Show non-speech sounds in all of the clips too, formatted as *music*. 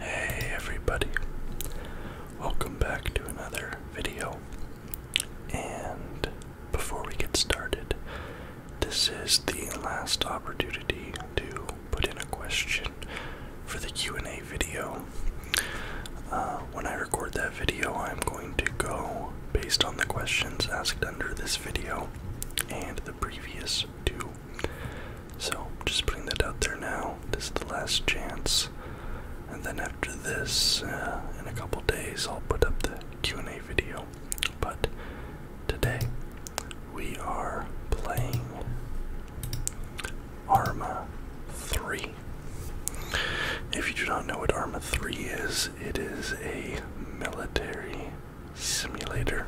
Hey everybody, welcome back to another video. And before we get started, this is the last opportunity to put in a question for the Q&A video. Uh, when I record that video, I'm going to go based on the questions asked under this video and the previous two so, just putting that out there now. This is the last chance. And then after this, uh, in a couple days, I'll put up the Q&A video. But today, we are playing Arma 3. If you do not know what Arma 3 is, it is a military simulator.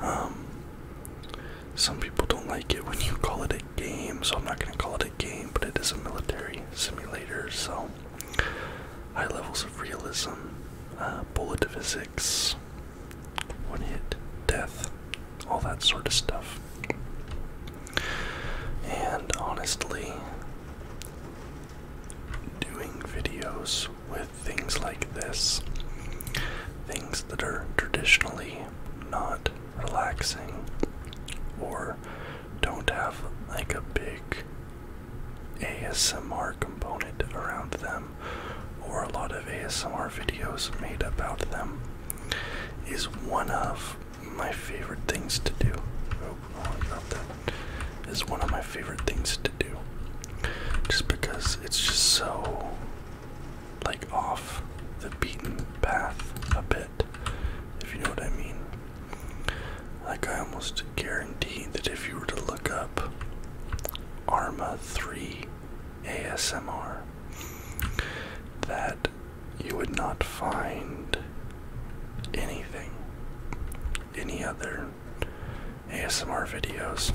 Um, some people don't like it when you call it a game, so I'm not going to call it a game, but it is a military simulator, so high levels of realism, uh, bullet physics, one hit, death, all that sort of stuff. And honestly, doing videos with things like this. Things that are traditionally not relaxing or don't have like a big ASMR component around them or a lot of ASMR videos made about them is one of my favorite things to do. Oh, is one of my favorite things to do. Just because it's just so like off the beaten path a bit, if you know what I mean. Like, I almost guarantee that if you were to look up ARMA 3 ASMR, that you would not find anything, any other ASMR videos,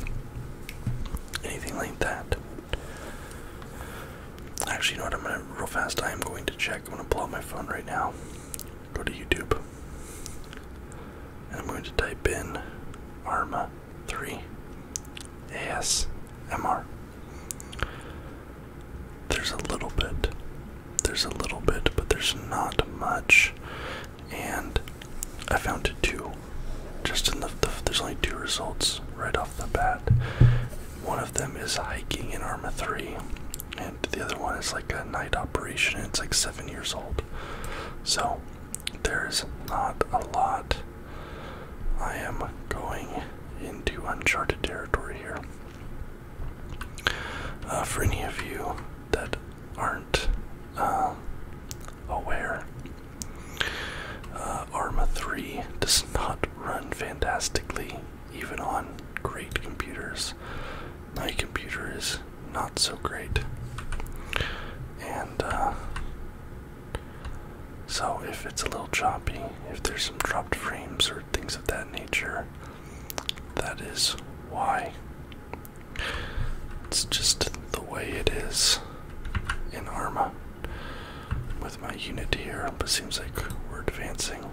anything like that. Actually, you know what? I'm gonna real fast. I am going to check. I'm gonna pull out my phone right now. Go to YouTube, and I'm going to type in Arma Three ASMR. There's a little bit. There's a little bit, but there's not much and I found two. Just in the, there's only two results right off the bat. One of them is hiking in Arma 3, and the other one is like a night operation. And it's like seven years old, so there's not a lot. I am going into uncharted territory here. Uh, for any of you that aren't uh, aware, uh, Arma 3 does not run fantastically, even on great computers. My computer is not so great. And uh, so, if it's a little choppy, if there's some dropped frames or things of that nature, that is why. It's just the way it is in Arma with my unit here, it seems like we're advancing.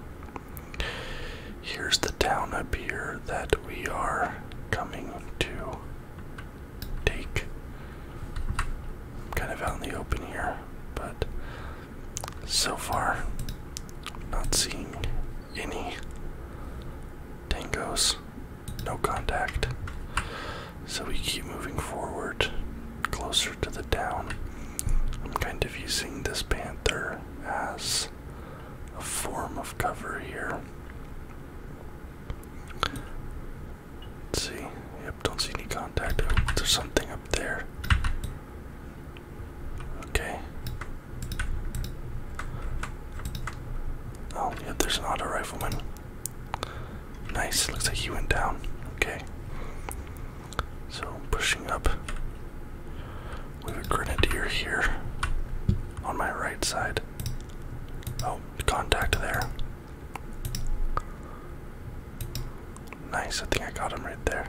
Here's the town up here that we are coming to take. kind of out in the open here, but so far, not seeing any Tangos. No contact. So we keep moving forward closer to the down. I'm kind of using this panther as a form of cover here. see. Yep, don't see any contact. Oh, there's something up there. Okay. Oh, yeah, there's an auto rifleman. Nice, looks like he went down. Okay. So, pushing up. We have a grenadier here on my right side. Oh, contact there. Nice, I think I got him right there.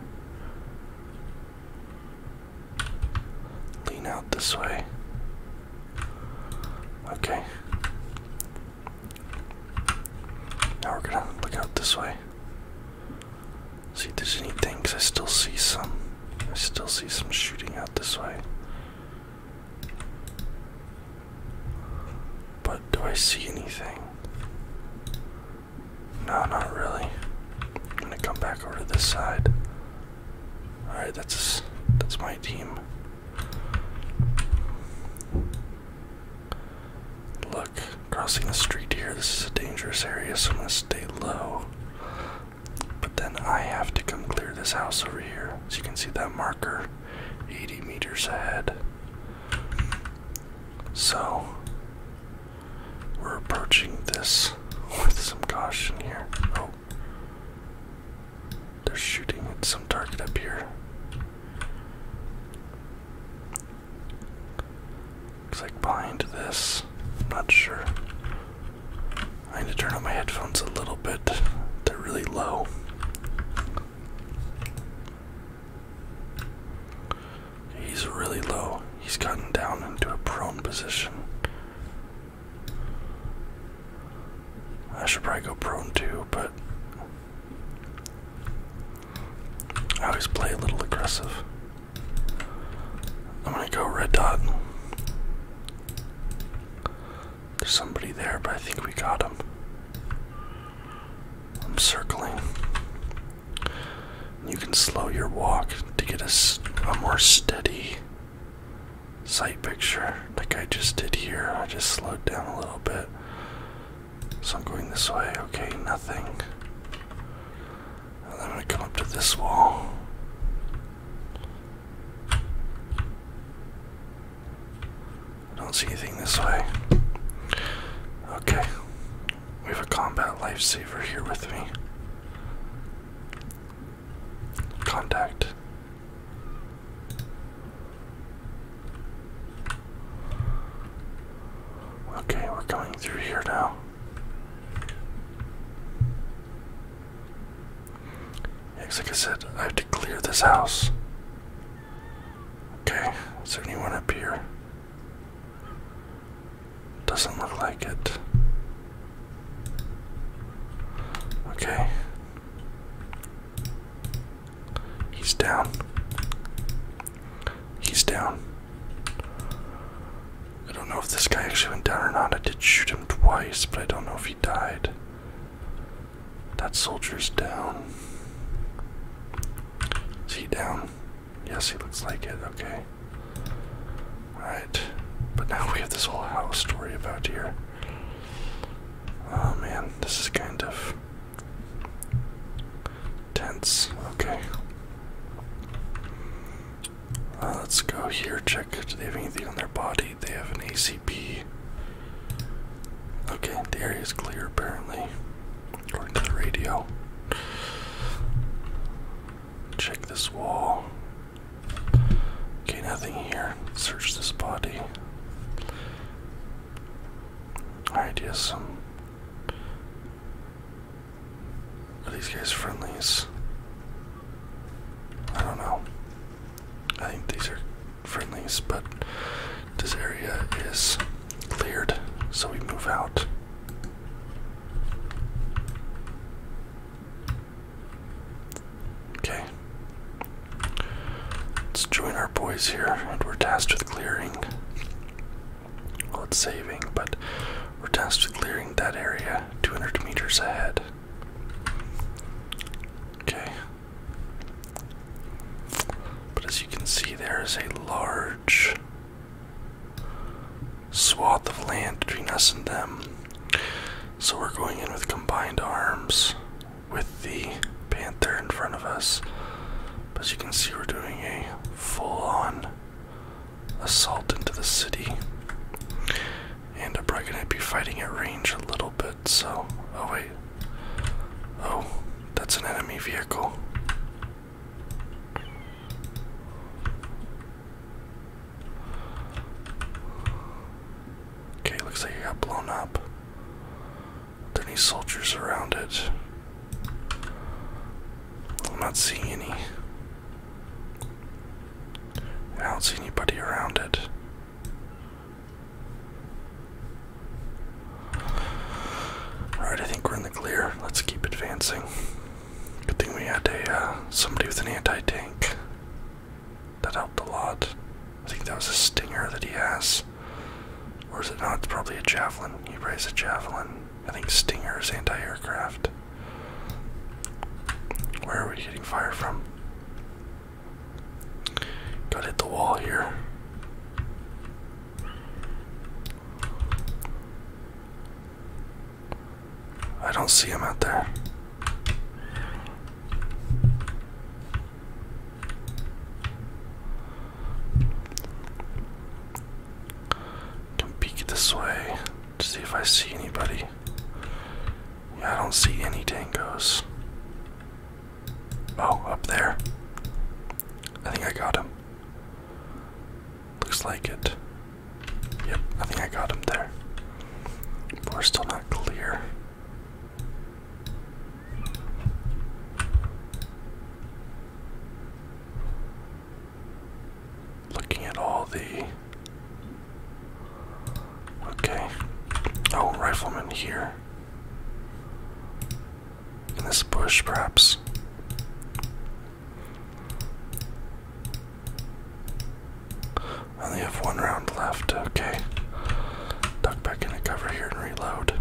Lean out this way. Okay. Now we're gonna look out this way. See if there's anything, because I still see some. I still see some shooting out this way. But do I see anything? No, not really. I'm gonna come back over to this side. All right, that's that's my team. Look, crossing the street here. This is a dangerous area, so I'm gonna stay low. But then I have to come clear this house over here. As you can see, that marker, 80 meters ahead. So we're approaching this with some caution here. Oh. They're shooting at some target up here. Looks like behind this. i not sure. I need to turn up my headphones a little bit. They're really low. He's really low. He's gotten down into a prone position. I should probably go prone too, but I always play a little aggressive. I'm gonna go red dot. There's somebody there, but I think we got him. I'm circling. You can slow your walk to get us a more steady sight picture like I just did here. I just slowed down a little bit. So I'm going this way. Okay, nothing. And i come up to this wall. I don't see anything this way. Okay. We have a combat lifesaver here with me contact. Okay, we're going through here now. Yes, like I said, I have to clear this house. Okay, is there anyone up here? Doesn't look like it. Okay. He's down. He's down. I don't know if this guy actually went down or not. I did shoot him twice, but I don't know if he died. That soldier's down. Is he down? Yes, he looks like it. Okay. Alright. But now we have this whole house story about here. Oh man, this is kind of tense. Okay. Uh, let's go here, check. Do they have anything on their body? They have an ACP. Okay, the area is clear apparently. According to the radio. Check this wall. Okay, nothing here. Search this body. Alright, yes, some. Are these guys friendlies? I don't know. I think these are friendlies, but this area is cleared, so we move out. Okay. Let's join our boys here, and we're tasked with clearing. Well, it's saving, but we're tasked with clearing that area 200 meters ahead. Okay. But as you can see, there is a large swath of land between us and them. So we're going in with combined arms with the panther in front of us. But as you can see, we're doing a full on assault into the city. And I'm probably going to be fighting at range a little bit, so. Oh, wait. Oh, that's an enemy vehicle. Okay, looks like it got blown up. Are any soldiers around it? I'm not seeing any. I don't see anybody around it. Alright, I think we're in the clear. Let's keep advancing. Good thing we had a uh, somebody with an anti-tank. That helped a lot. I think that was a stinger that he has. Or is it not? It's probably a javelin. He raised a javelin. I think stinger is anti-aircraft. Where are we getting fired from? Gotta hit the wall here. I don't see him out there. Can peek this way to see if I see anybody. I don't see any tangos. Oh, up there. I think I got him. Looks like it. Yep, I think I got him there. But we're still not clear. Looking at all the. Okay. Oh, rifleman here. In this bush, perhaps. I only have one round left. Okay. Duck back in into cover here and reload.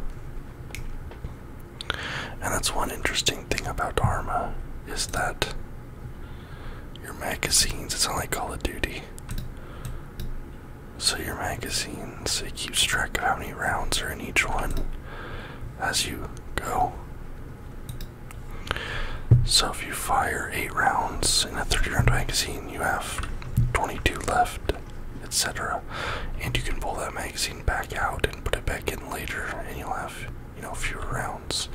And that's one interesting thing about Arma is that your magazines, it's not like Call of Duty. So your magazines, it keeps track of how many rounds are in each one as you go. So if you fire eight rounds in a 30 round magazine, you have 22 left, etc. And you can pull that magazine back out and put it back in later, and you'll have, you know, fewer rounds.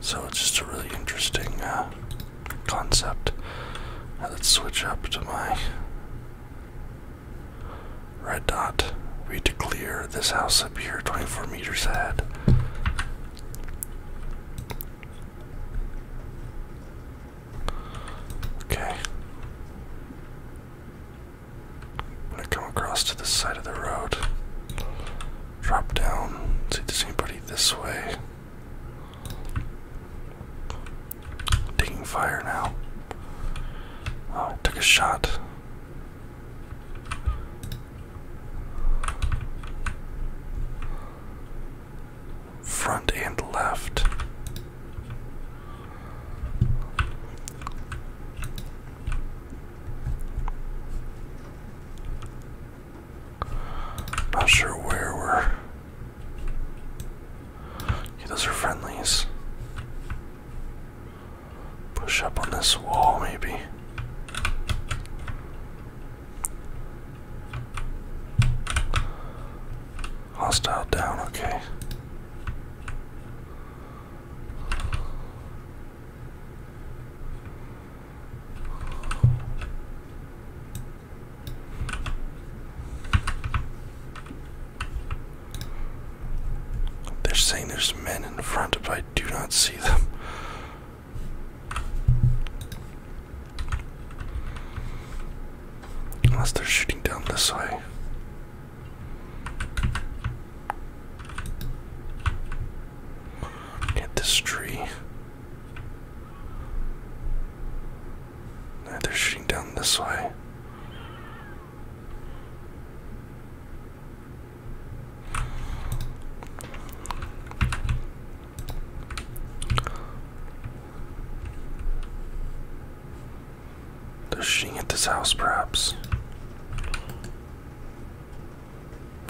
So it's just a really interesting uh, concept. let's switch up to my red dot. We declare this house up here, 24 meters ahead. Okay. I'm gonna come across to the side of the road. Drop down. See if there's anybody this way. Taking fire now. Oh, I took a shot. Front and left. Not sure where we're. Okay, those are friendlies. Push up on this wall, maybe. Hostile down, okay. They're saying there's men in front, but I do not see. Unless they're shooting down this way. Hit this tree. they're shooting down this way. They're at this house, perhaps.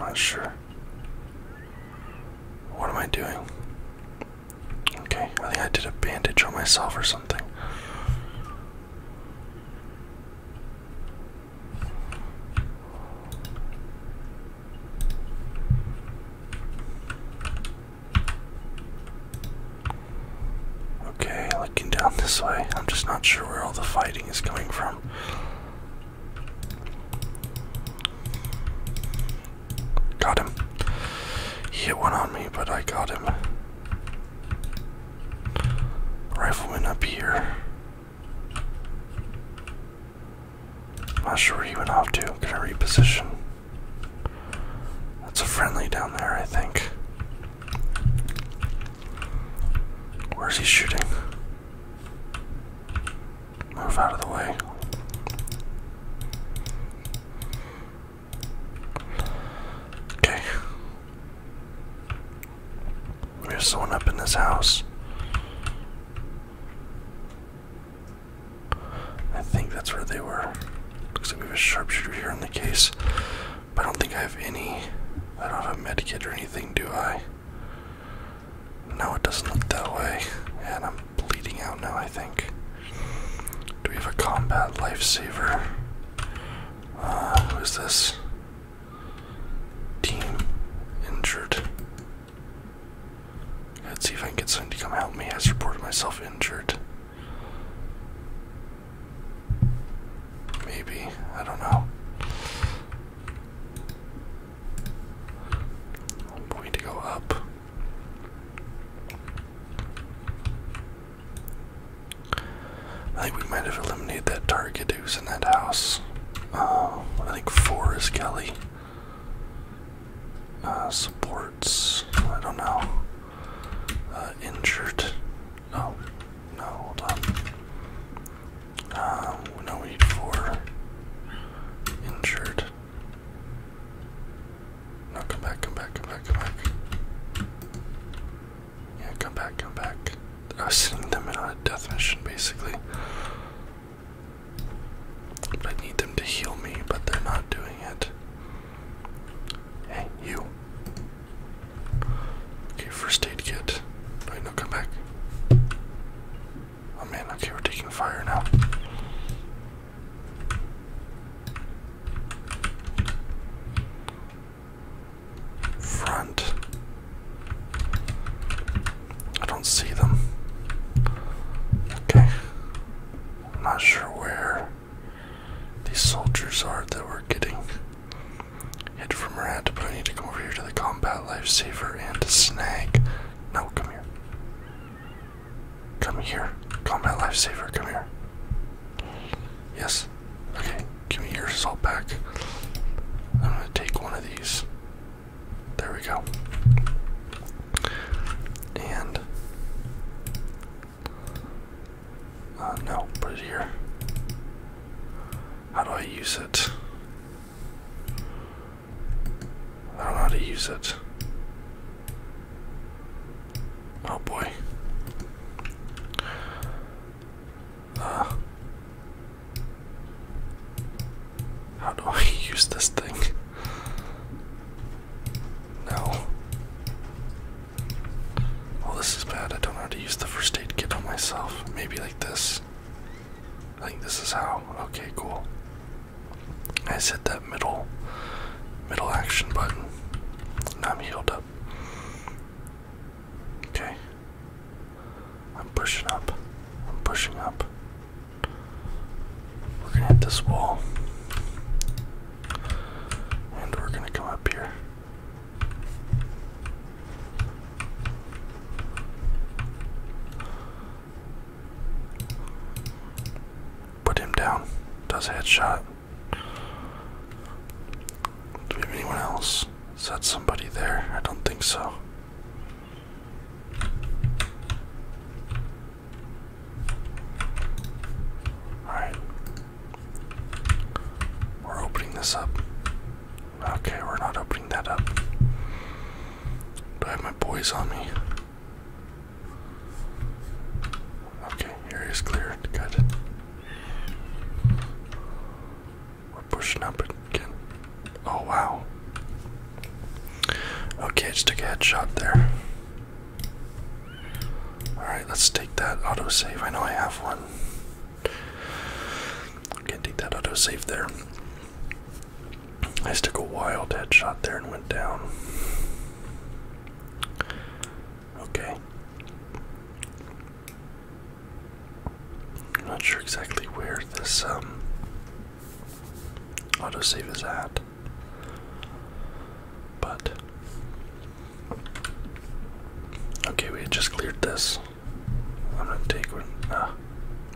Not sure. What am I doing? Okay, I think I did a bandage on myself or something. Okay, looking down this way. I'm just not sure where all the fighting is coming from. Got him. He hit one on me, but I got him. Rifleman up here. I'm not sure where he went off to. Can I reposition? That's a friendly down there, I think. Where's he shooting? Move out of the way. Okay. There's someone up in this house. I think that's where they were. Looks like we have a sharpshooter here in the case. I don't think I have any. I don't have a med kit or anything, do I? No, it doesn't look that way. And I'm bleeding out now, I think. Do we have a combat lifesaver? Uh, who is this? Team injured. Let's see if I can get someone to come help me. I have reported myself injured. Maybe. I don't know. I'm going to go up. I think we might have eliminated that target who's in that house. Uh, I think four is Kelly. Uh, supports. I don't know. Uh, injured. No. No, hold on. We no, we need four. Injured. No, come back, come back, come back, come back. Yeah, come back, come back. I was sending them in on a death mission basically. But I need them to heal me, but they're not doing it. Hey, you. Okay, first aid kit. Wait, no, come back. Oh man, okay, we're taking fire now front. I don't see them. Okay. I'm not sure where these soldiers are that we're getting hit from around. but I need to come over here to the combat lifesaver and snag. No, come here. Come here. Combat lifesaver, come here. Yes. Okay. Give me your salt back. I'm gonna take one of these. There we go. And uh, no, put it here. How do I use it? I don't know how to use it. Oh boy. Ah. how do I *laughs* use this thing? No. Well, this is bad. I don't know how to use the first aid kit on myself. Maybe like this. I think this is how. Okay, cool. I just hit that middle, middle action button. Now I'm healed up. Okay. I'm pushing up. I'm pushing up. We're gonna hit this wall. And we're gonna come up here. Put him down. Does headshot. Do we have anyone else? Is that somebody there? I don't think so. Alright. We're opening this up. Okay, we're not opening that up. Do I have my boys on me? Okay, area's cleared. Good. We're pushing up again. Oh wow. Okay, just took a headshot there. Alright, let's take that autosave. I know I have one. Okay, take that autosave there. I just took a wild headshot there and went down. Okay. I'm not sure exactly where this um, autosave is at, but okay, we just cleared this. I'm gonna take uh,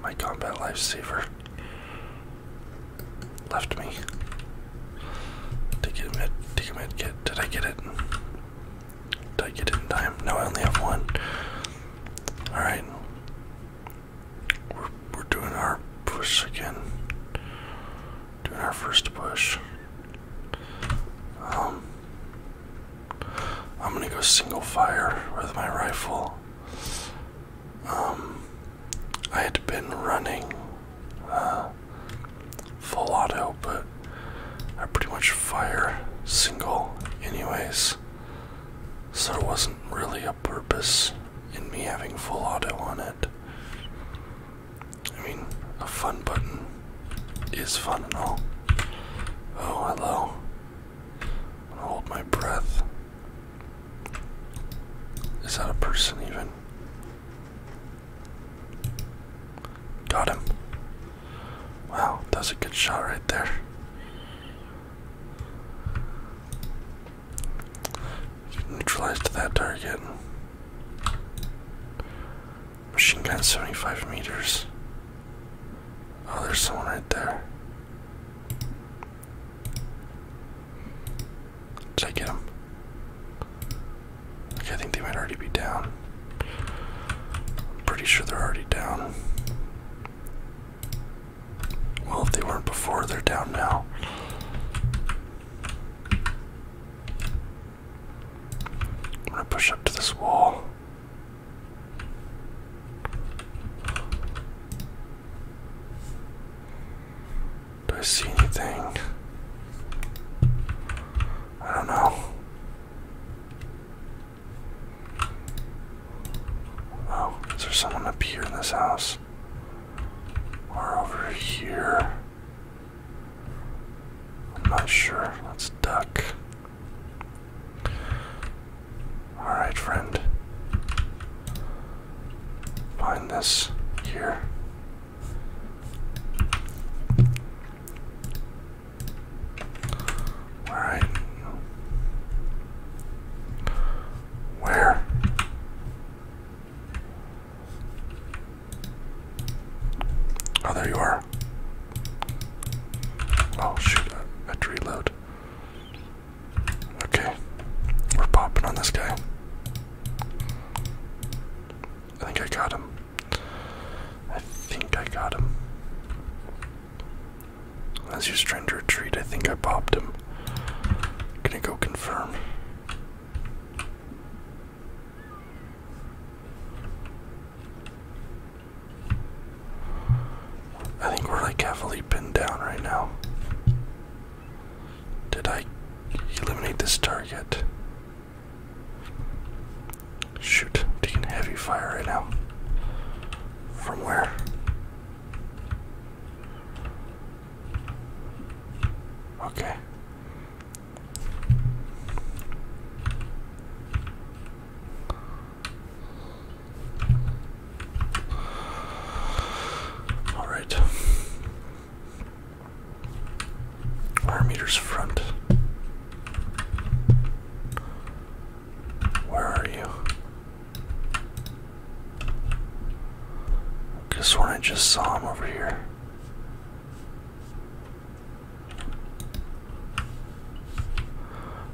my combat lifesaver left me. Take a med, take a med Did I get it? Take it in time? No, I only have one. Alright. We're, we're doing our push again. Doing our first push. Um, I'm gonna go single fire with my rifle. Um, I had been running. Uh, full auto, but I pretty much fire single anyways. So it wasn't really a purpose in me having full auto on it. I mean, a fun button is fun and all. Oh, hello. hold my breath. Is that a person even? Got him. Wow, that's a good shot right there. Neutralized that target. Machine gun 75 meters. Oh, there's someone right there. Did him? I think they might already be down. pretty sure they're already down. Well, if they weren't before, they're down now. i push up to this wall. Do I see anything? I don't know. Oh, is there someone up here in this house? Or over here? I'm not sure. Let's duck. Alright, friend. Find this here. All right. Where? Oh, there you are. Oh, shoot. I had to reload. Okay. We're popping on this guy. I think I got him. I think I got him. As he was trying to retreat, I think I popped him. Can I go confirm. I think we're like heavily pinned down right now. Did I eliminate this target? Shoot, taking heavy fire right now. From where? Okay. All right. Wire meters front. Where are you? Guess when I just saw him over here.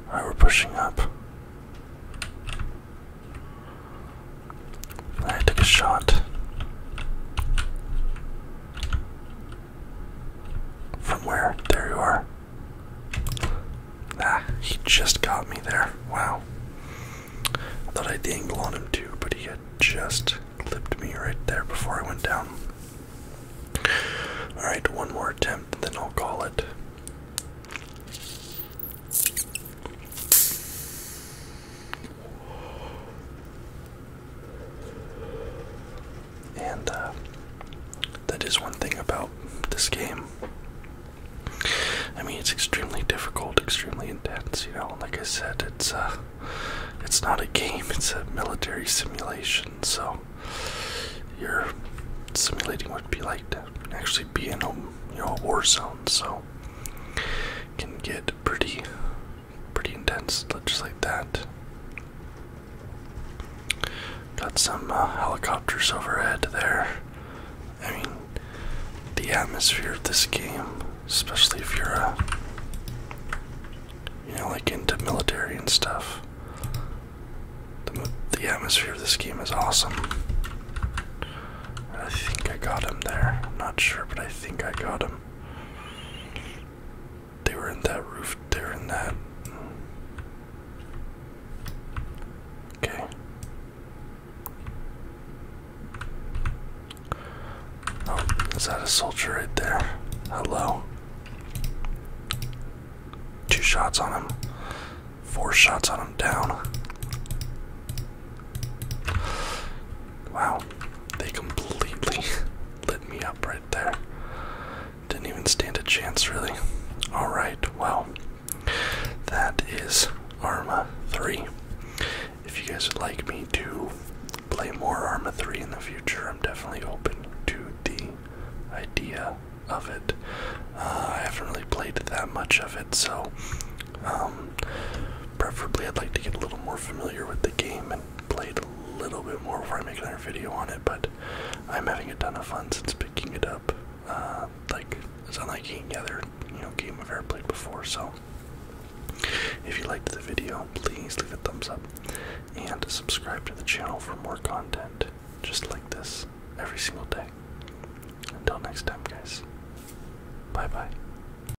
Alright, we're pushing up. I took a shot. From where? There you are. Ah, he just got me there. Wow. Thought I thought the angle on him too, but he had just clipped me right there before I went down. Alright, one more attempt, then I'll call it. And uh, that is one thing about this game. I mean, it's extremely difficult, extremely intense. You know, like I said, it's uh, it's not a game; it's a military simulation. So you're simulating what it'd be like to actually be in a a war zone. So it can get pretty pretty intense, just like that. Got some uh, helicopters overhead there. I mean, the atmosphere of this game, especially if you're a, uh, you know, like into military and stuff. The, the atmosphere of this game is awesome. I think I got him there. I'm not sure, but I think I got him. They were in that roof. They were in that. Okay. Oh, is that a soldier right there? Hello. Two shots on him. Four shots on him down. Wow, they completely *laughs* lit me up right there. Didn't even stand a chance, really. Alright, well, that is Arma 3. If you guys would like me to play more Arma 3 in the future, I'm definitely open to the idea of it. Uh, I haven't really played that much of it, so um, Preferably, I'd like to get a little more familiar with the game and play it a little bit more before I make another video on it. But I'm having a ton of fun since picking it up. Uh, like it's unlike any other you know game I've ever played before. So if you liked the video, please leave a thumbs up and subscribe to the channel for more content just like this every single day. Until next time, guys. Bye bye.